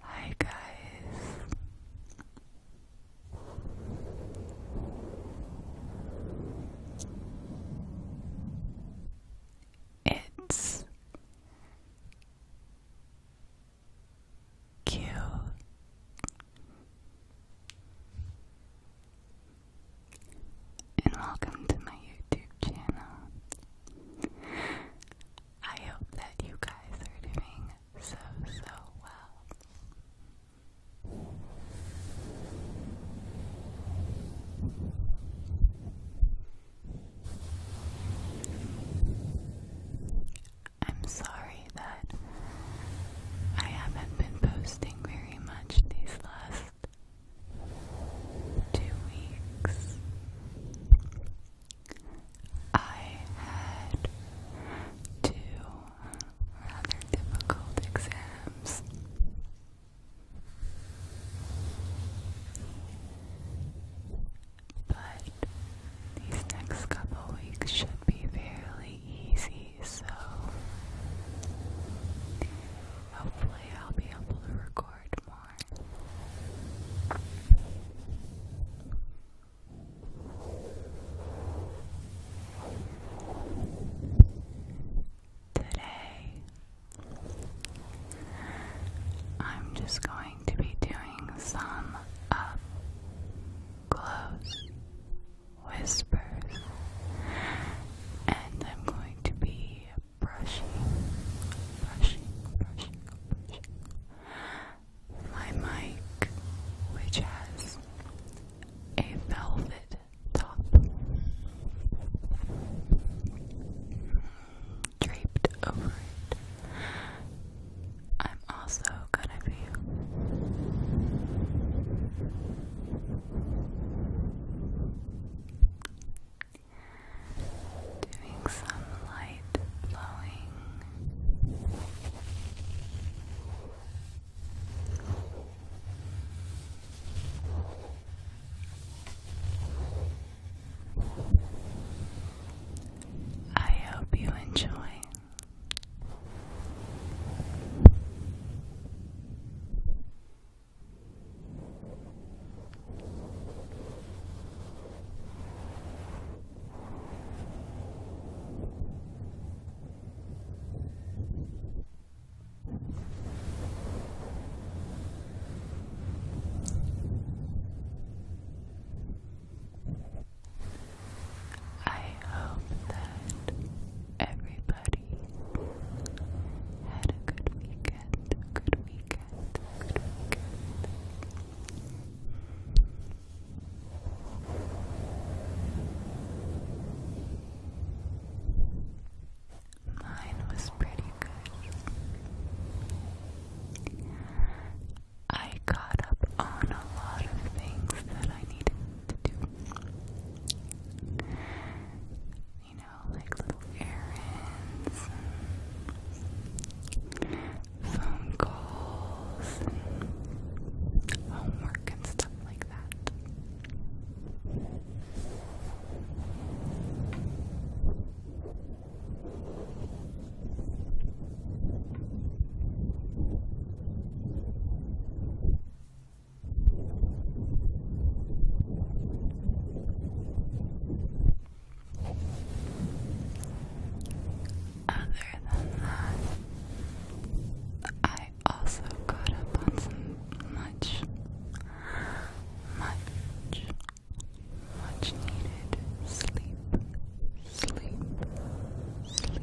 Hi guys. It's Q and welcome to my YouTube channel. I hope that you guys are doing so, so well. I'm sorry that I haven't been posting very much these last two weeks, I had two rather difficult exams. But these next couple weeks should be fairly easy, so hopefully i Today, I'm just going to be doing some up uh, close whispers, and I'm going to be brushing, brushing, brushing, brushing my mic, which has a velvet top draped over it. I'm also gonna be doing some light blowing. I hope you enjoy. I hope that everybody everybody. Had a good weekend. Good weekend. Good weekend. Mine was pretty good. I caught up on a lot of things that I needed to do. You know, know, like little errands and phone calls and homework and stuff like that. Other than that, I also got up on some much, much, much needed sleep, sleep, sleep.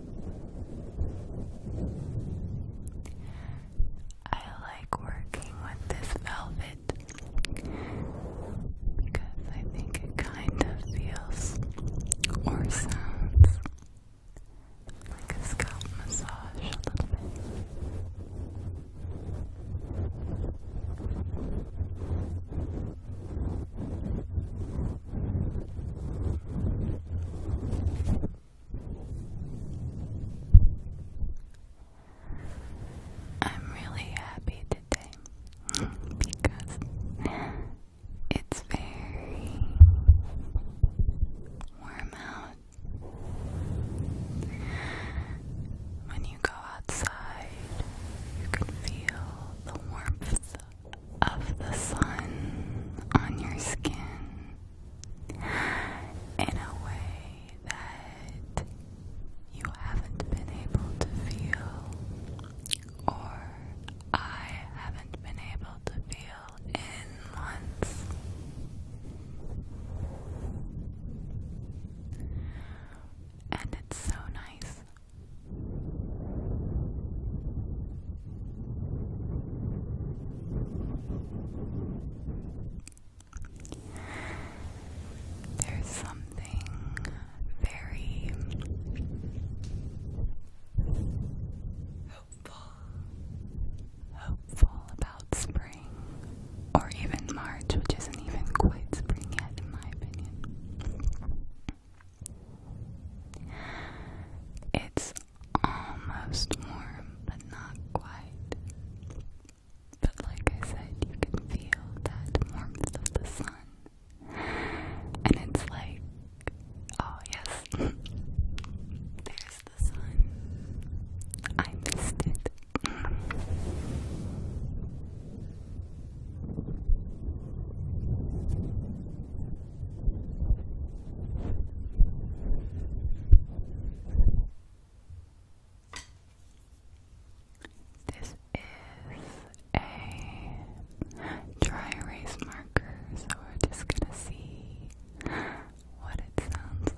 I like working with this velvet because I think it kind of feels or sounds like a scalp massage a little bit. I'm really happy today because it's very warm out. When you go outside, you can feel the warmth of the sun on your skin in a way that you haven't been able to feel, or I haven't been able to feel in months. And it's so nice. There's something very hopeful, hopeful about spring, or even March, which isn't even quite spring yet, in my opinion. It's almost warm, but not quite. But like I said, you can feel that warmth of the sun. And it's like, oh yes, there's the sun. I missed it. This is a dry erase marker, so we're just going to see what it sounds like.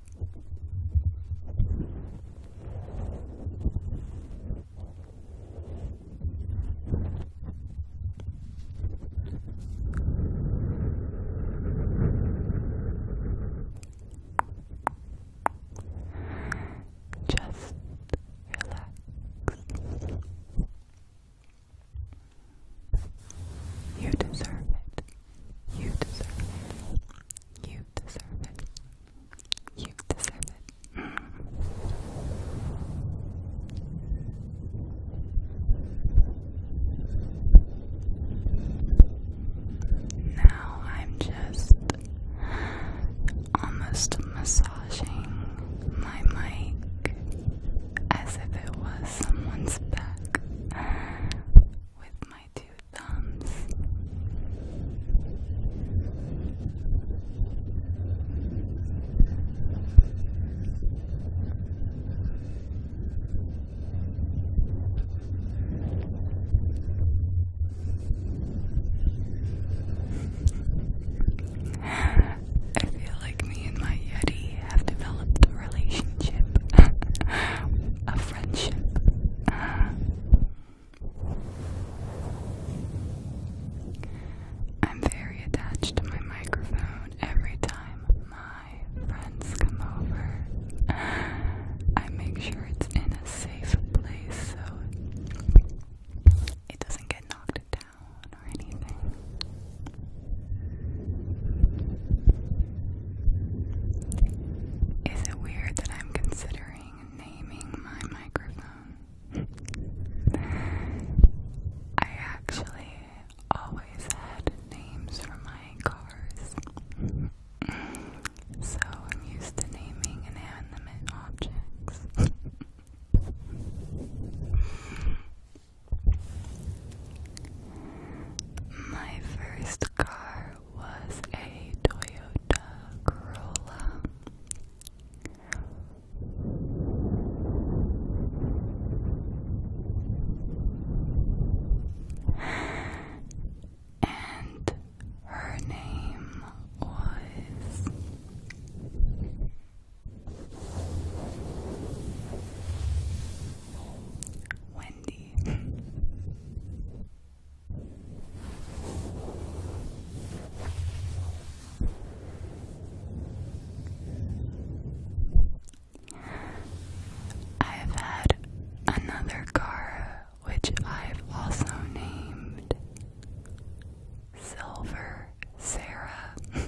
Just relax. You deserve it. You deserve it. You deserve it. You deserve it. Now I'm just almost massaging my mic as if it was someone's back with my my two thumbs. I feel like me and my Yeti have developed a relationship, friendship. I'm very attached to my microphone every time my friends come over. I make sure it's in a safe place so it doesn't get knocked down or anything. Is it weird that I'm considering naming my microphone? I actually always had names for my cars, so I'm used to naming inanimate objects. My first car was a Toyota Corolla. And her name was Wendy. I've had another car which I've also named Silver Sarah.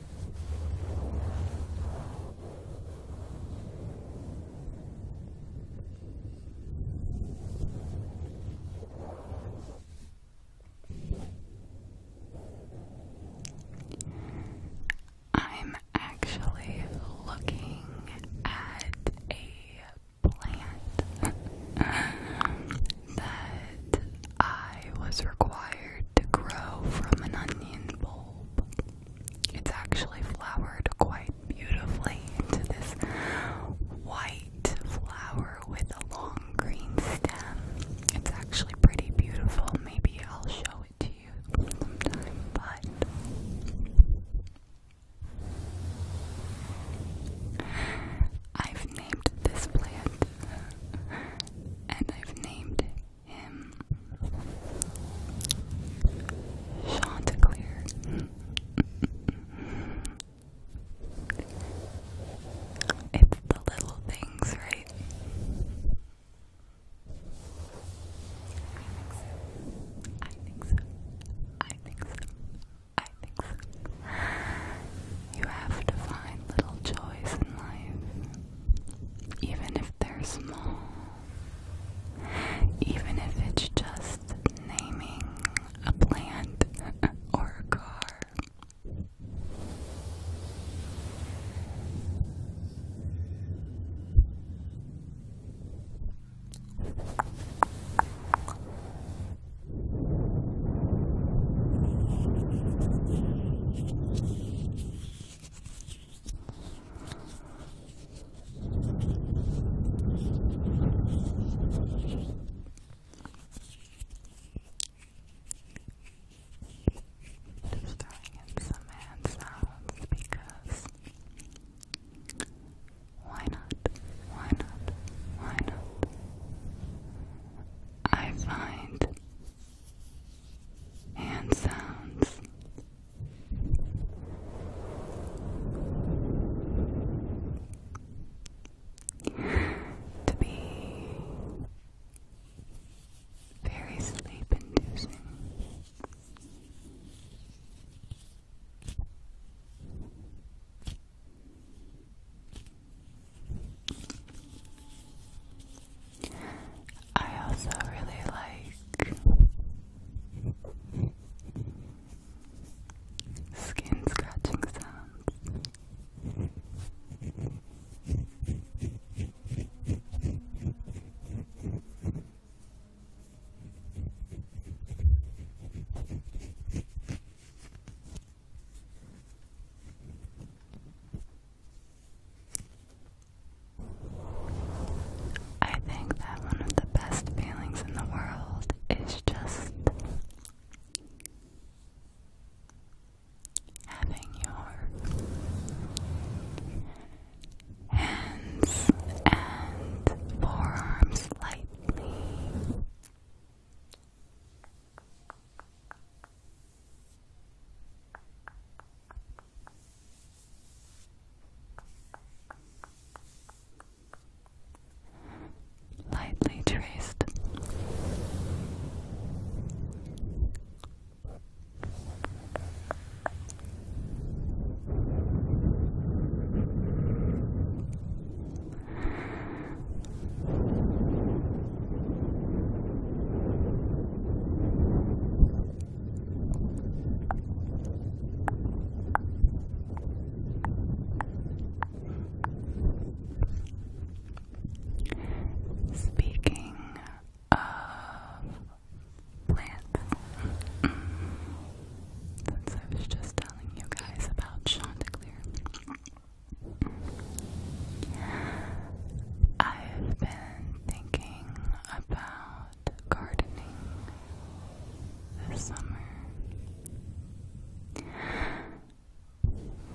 I'm actually looking at a plant that I was required to grow from an onion bulb. It's actually flowered quite beautifully into this white flower with a long green stem. It's actually pretty beautiful. Maybe I'll show it to you sometime, but. I've named this plant and I've named him. Chanticleer. it's the little things, right? I think so. I think so. I think so. I think so. You have to find little joys in life even if they're small, even if it's just naming a plant or a car. Just throwing in some hand because why not? Why not? Why not? I find and sounds. To be very sleep inducing. I also really like skin scratching sounds. I think that one of the best feelings in the world is just having your hands and forearms lightly Lightly traced. Speaking of plants, mm. since I was just telling you guys about Chanticleer. I've been thinking about gardening this summer.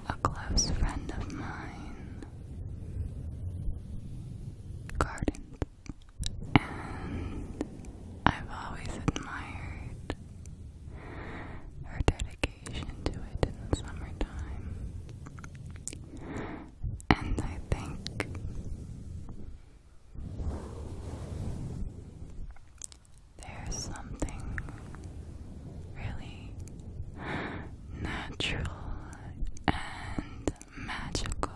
A close friend of mine gardens, and I've always admired her dedication variation it in the summertime. And I think there's something really natural and magical,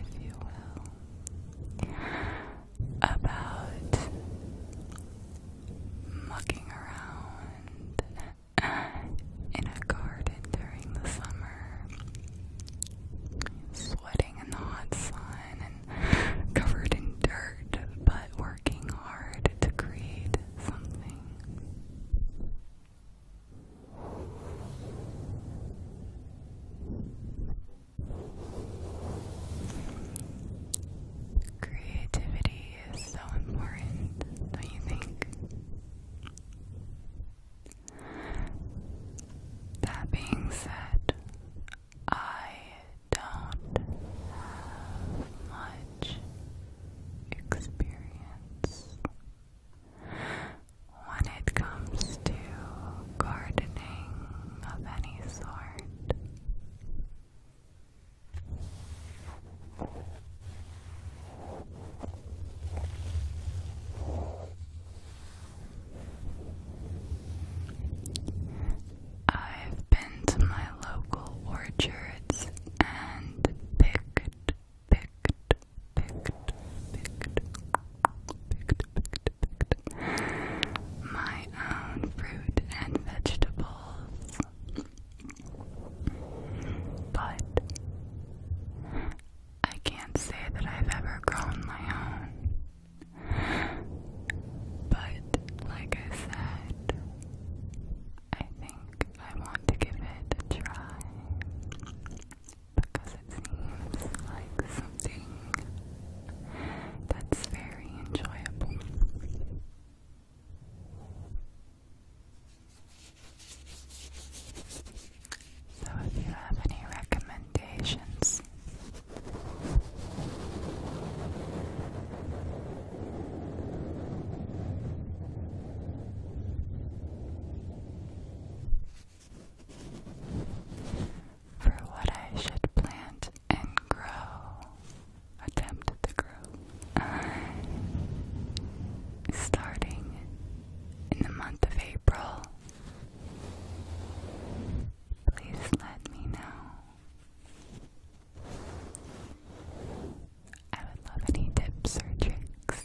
if you will, about mucking around in a garden during the summer, sweating in the hot sun and covered in dirt, but working hard to create something. Creativity is so important, don't you think? That being said, I don't have much experience when it comes to gardening of any sort. I've been to my local orchards and picked, picked, picked, picked, picked, picked, picked my own fruit and vegetables. But I can't say that I've ever grown my own. But like I said, I think I want to give it a try because it seems like something that's very enjoyable. So, if you have any recommendations, for what I should plant and grow attempt to grow. Uh, starting in the month of April, please let me know. I would love any tips or tricks.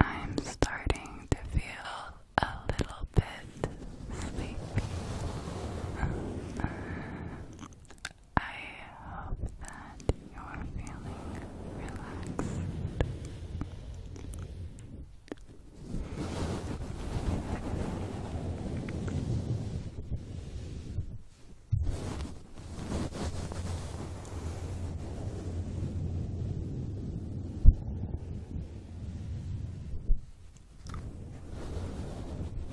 I'm starting to feel a little bit sleepy. I hope that you're feeling relaxed.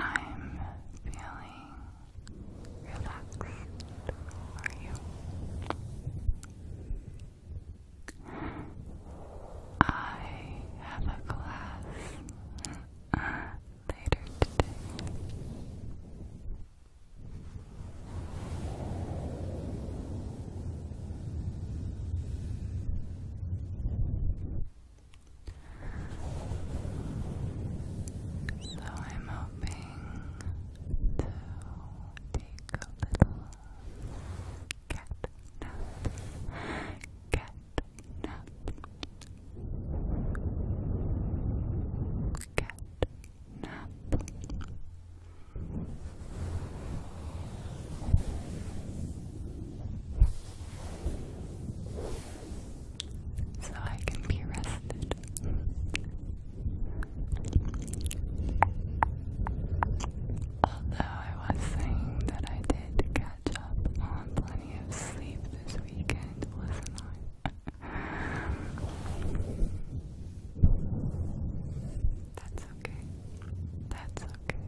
I'm feeling relaxed. are you? I have a class uh, later today. So I'm hoping to take a little cat nap. Cat cat, cat, nap. So I can be rested. Although I was saying that I did catch catch up on plenty of sleep this weekend, wasn't That's okay. That's okay.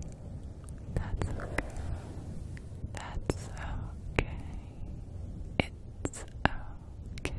That's okay. That's okay. It's okay. It's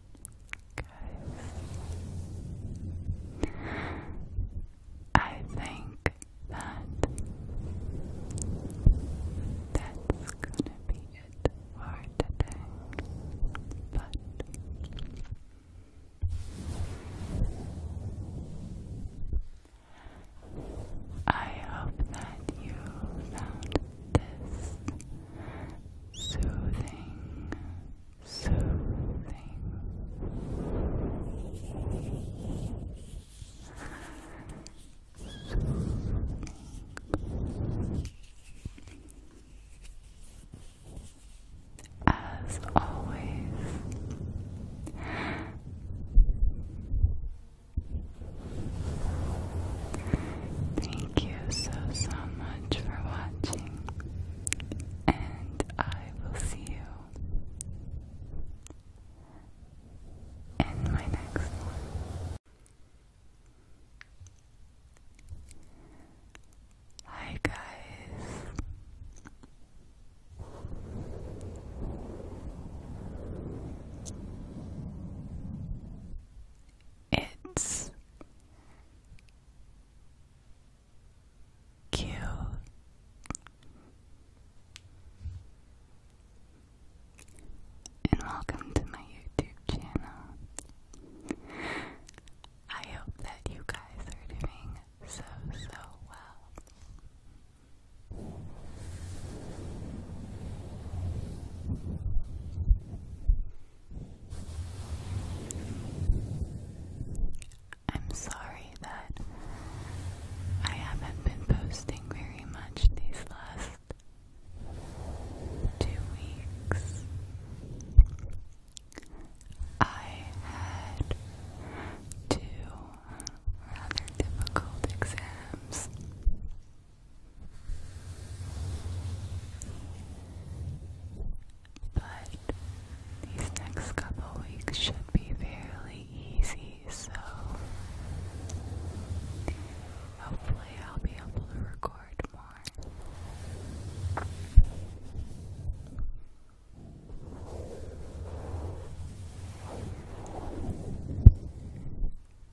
Guys, I think that that's gonna be it for today. But I hope that you found this soothing soothing as always Thank you so so much for watching and I will see you in my next Hi, guys. It's Q and welcome to my YouTube channel. I hope that you guys are doing so so well. I'm sorry that I haven't been posting very much these last two weeks. I had two rather difficult exams but these next couple weeks should be fairly easy, so hopefully I'll be able to record more.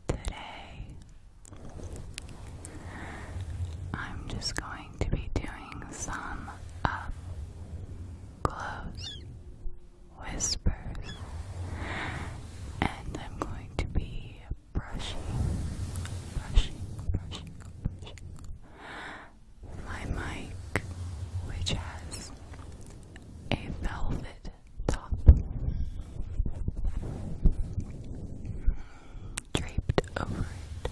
Today I'm just going to be doing some up uh, close whispers, and I'm going to be brushing, brushing, brushing, brushing my mic, which has a velvet top draped over it.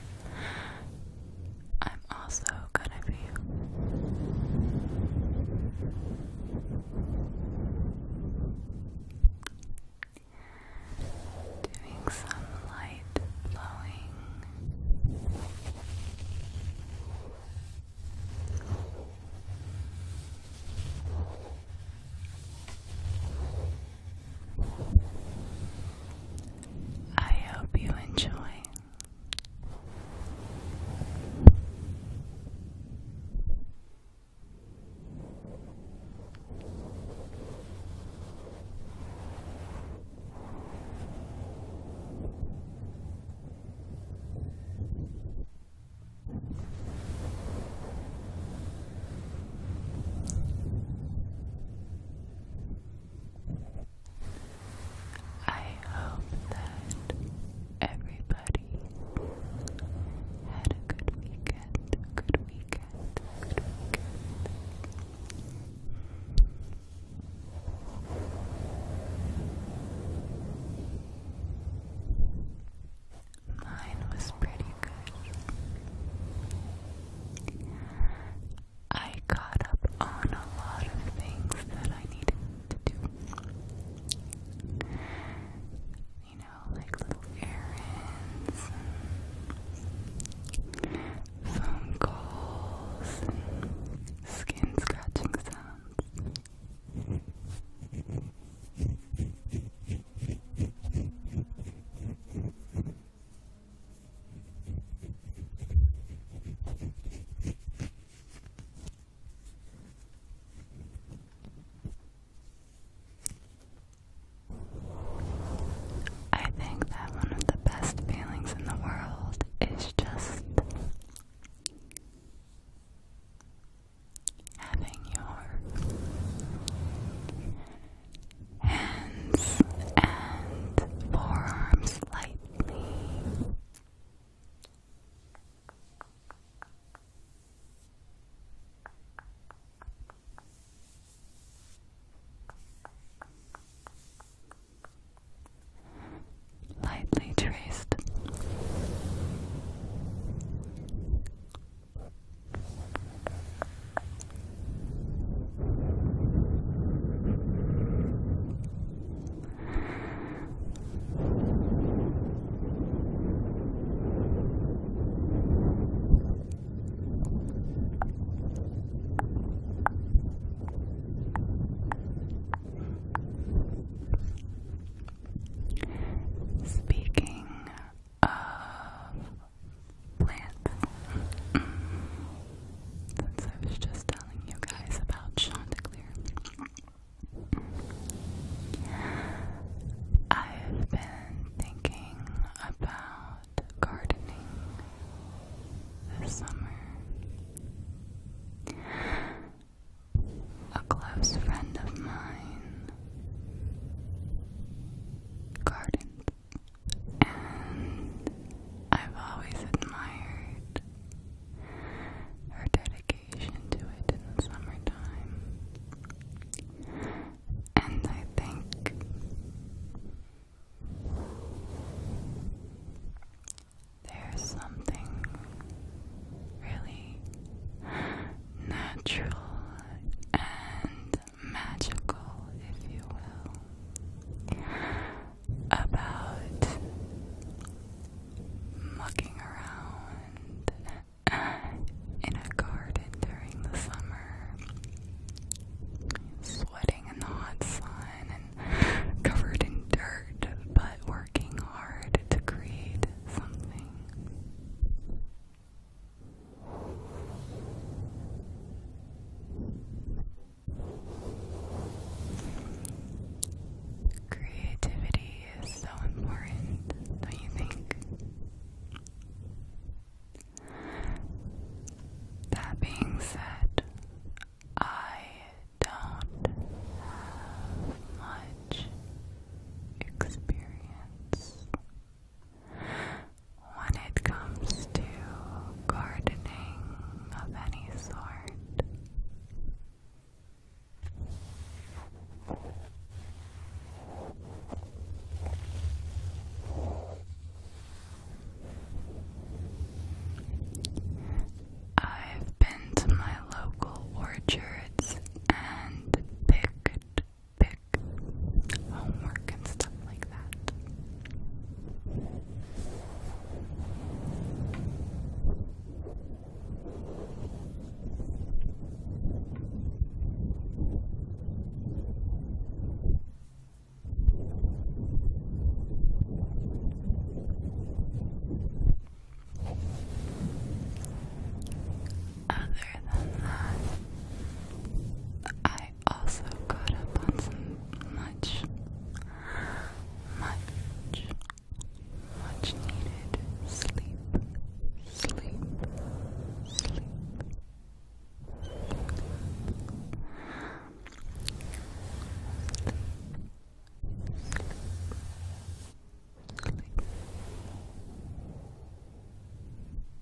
I'm also gonna be doing some light blowing. I hope you enjoy. I hope that everybody had a good weekend, good weekend, good weekend. Mine was pretty good. I got up on a lot of things that I needed to do. You know, like little errands, phone calls, skin scratching sounds. I think that one of the best feelings in the world is just having your hands and forearms lightly. Lightly traced Speaking of since I was just telling you guys about Chanticleer, I've been thinking about gardening this summer. A close friend of mine gardens and I've always admired her dedication to it in summertime. And I think there's something really natural and magical, if you will, about mucking around in a garden during the summer, sweating in the hot sun and covered in dirt, but working hard to create something. Creativity is so important, don't you think? That being said, I don't have much experience when it comes to gardening of any sort, I've been to my local orchards and picked pick homework and stuff like that. Other than that, I also got up on some much, much, much needed Sleep. Sleep. Sleep.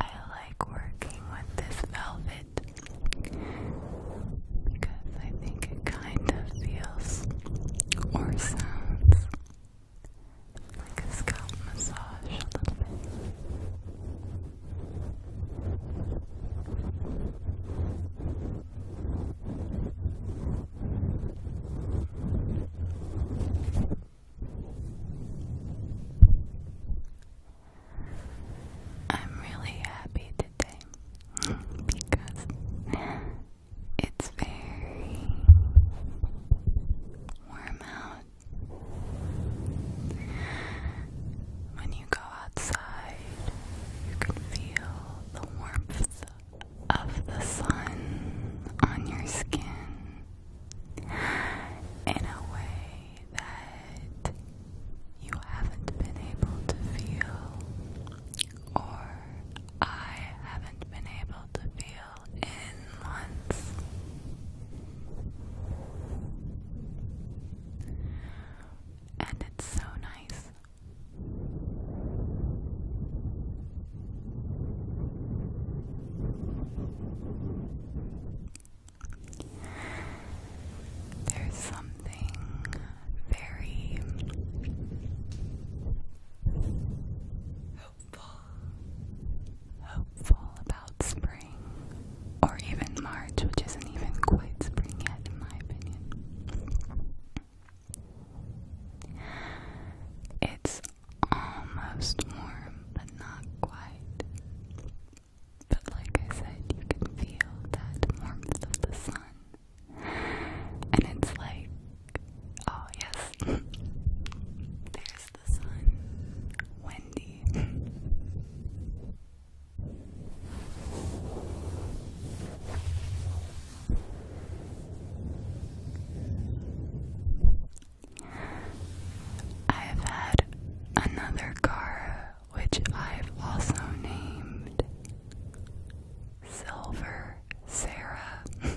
I like working with this velvet because I think it kind of feels or sounds like a scalp massage a little bit. I'm really happy today because it's very warm out. When you go outside, you can feel the warmth of the sun on your skin in a way that you haven't been able to feel or I haven't been able to feel in months. And it's so nice. There's something very hopeful, hopeful about spring, or even March, which isn't even quite spring yet, in my opinion. It's almost warm, but not quite. But like I said, you can feel that warmth of the sun and it's like, oh yes, there's the sun, Wendy. I've had another car which I've also named Silver Sarah.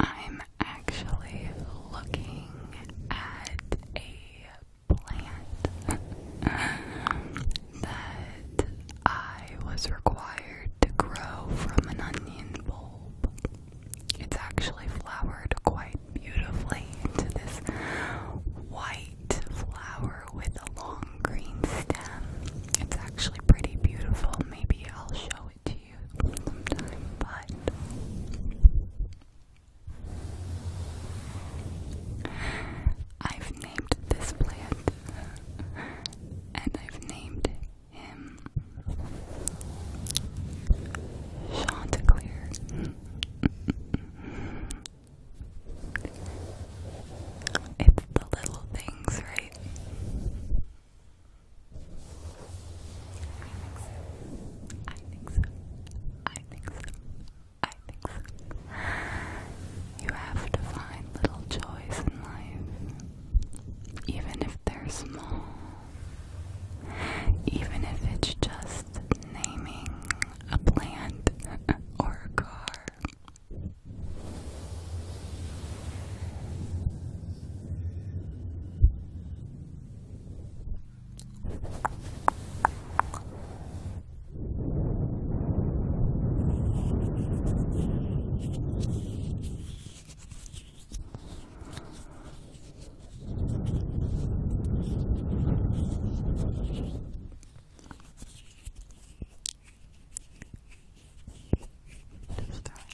I'm actually looking at a plant that I was required to grow from an onion bulb. It's actually flowered quite beautifully into this white flower with a long green stem. It's actually pretty beautiful. Maybe I'll show it to you sometime, but I've named this plant and I've named him Chanticleer. it's the little things, right? I think so. I think so. I think so. You have to find little joys in life, even if they're small. Even if it's just naming a plant or a car. Just throwing in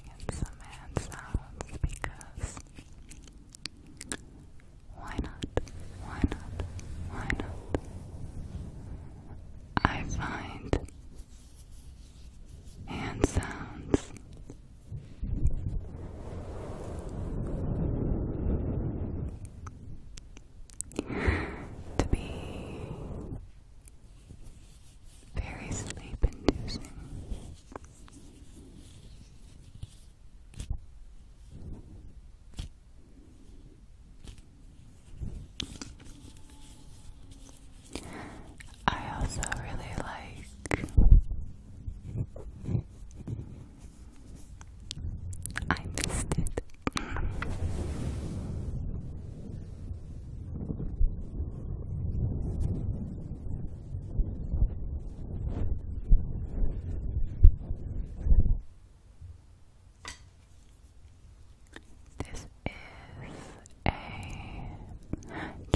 some hand sounds because why not? Why not? Why not? I find hand sounds to be very sleep inducing. I also really like I missed it. This is a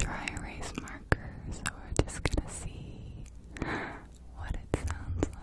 dry erase marker, so we're just going to see what it sounds like.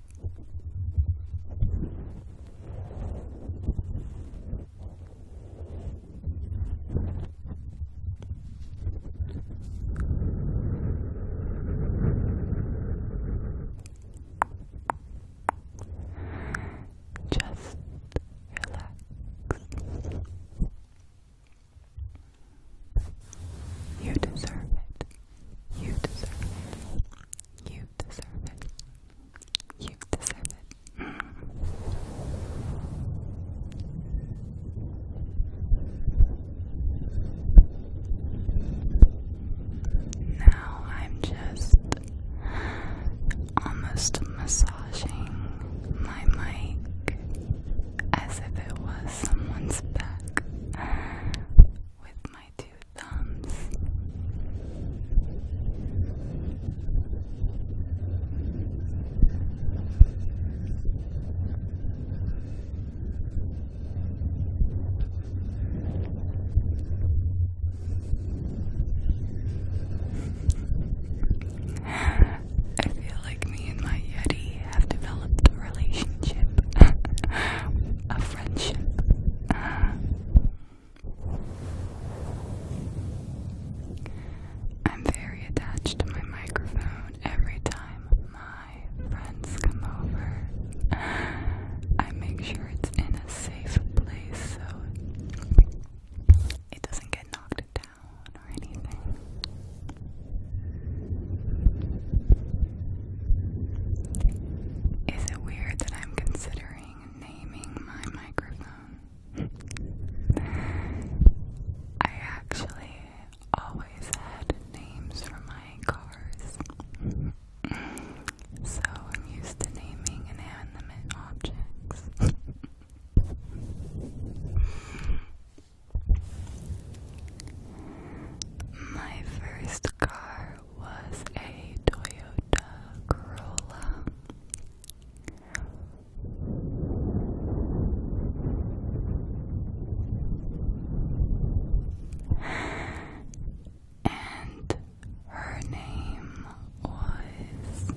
Just relax. You deserve it. You deserve it. You deserve it. You deserve it. Now I'm just almost massaging my mic as if it was someone's back with my two thumbs. I feel like me and my Yeti have developed a relationship, friendship. I'm very attached to my microphone. Every time my friends come over, I make sure it's in a safe place so it doesn't get knocked down or anything. Is it weird that I'm considering naming my microphone? I actually always had names for my cars. So I'm used to naming inanimate objects. My first car was a Toyota Corolla. And her name was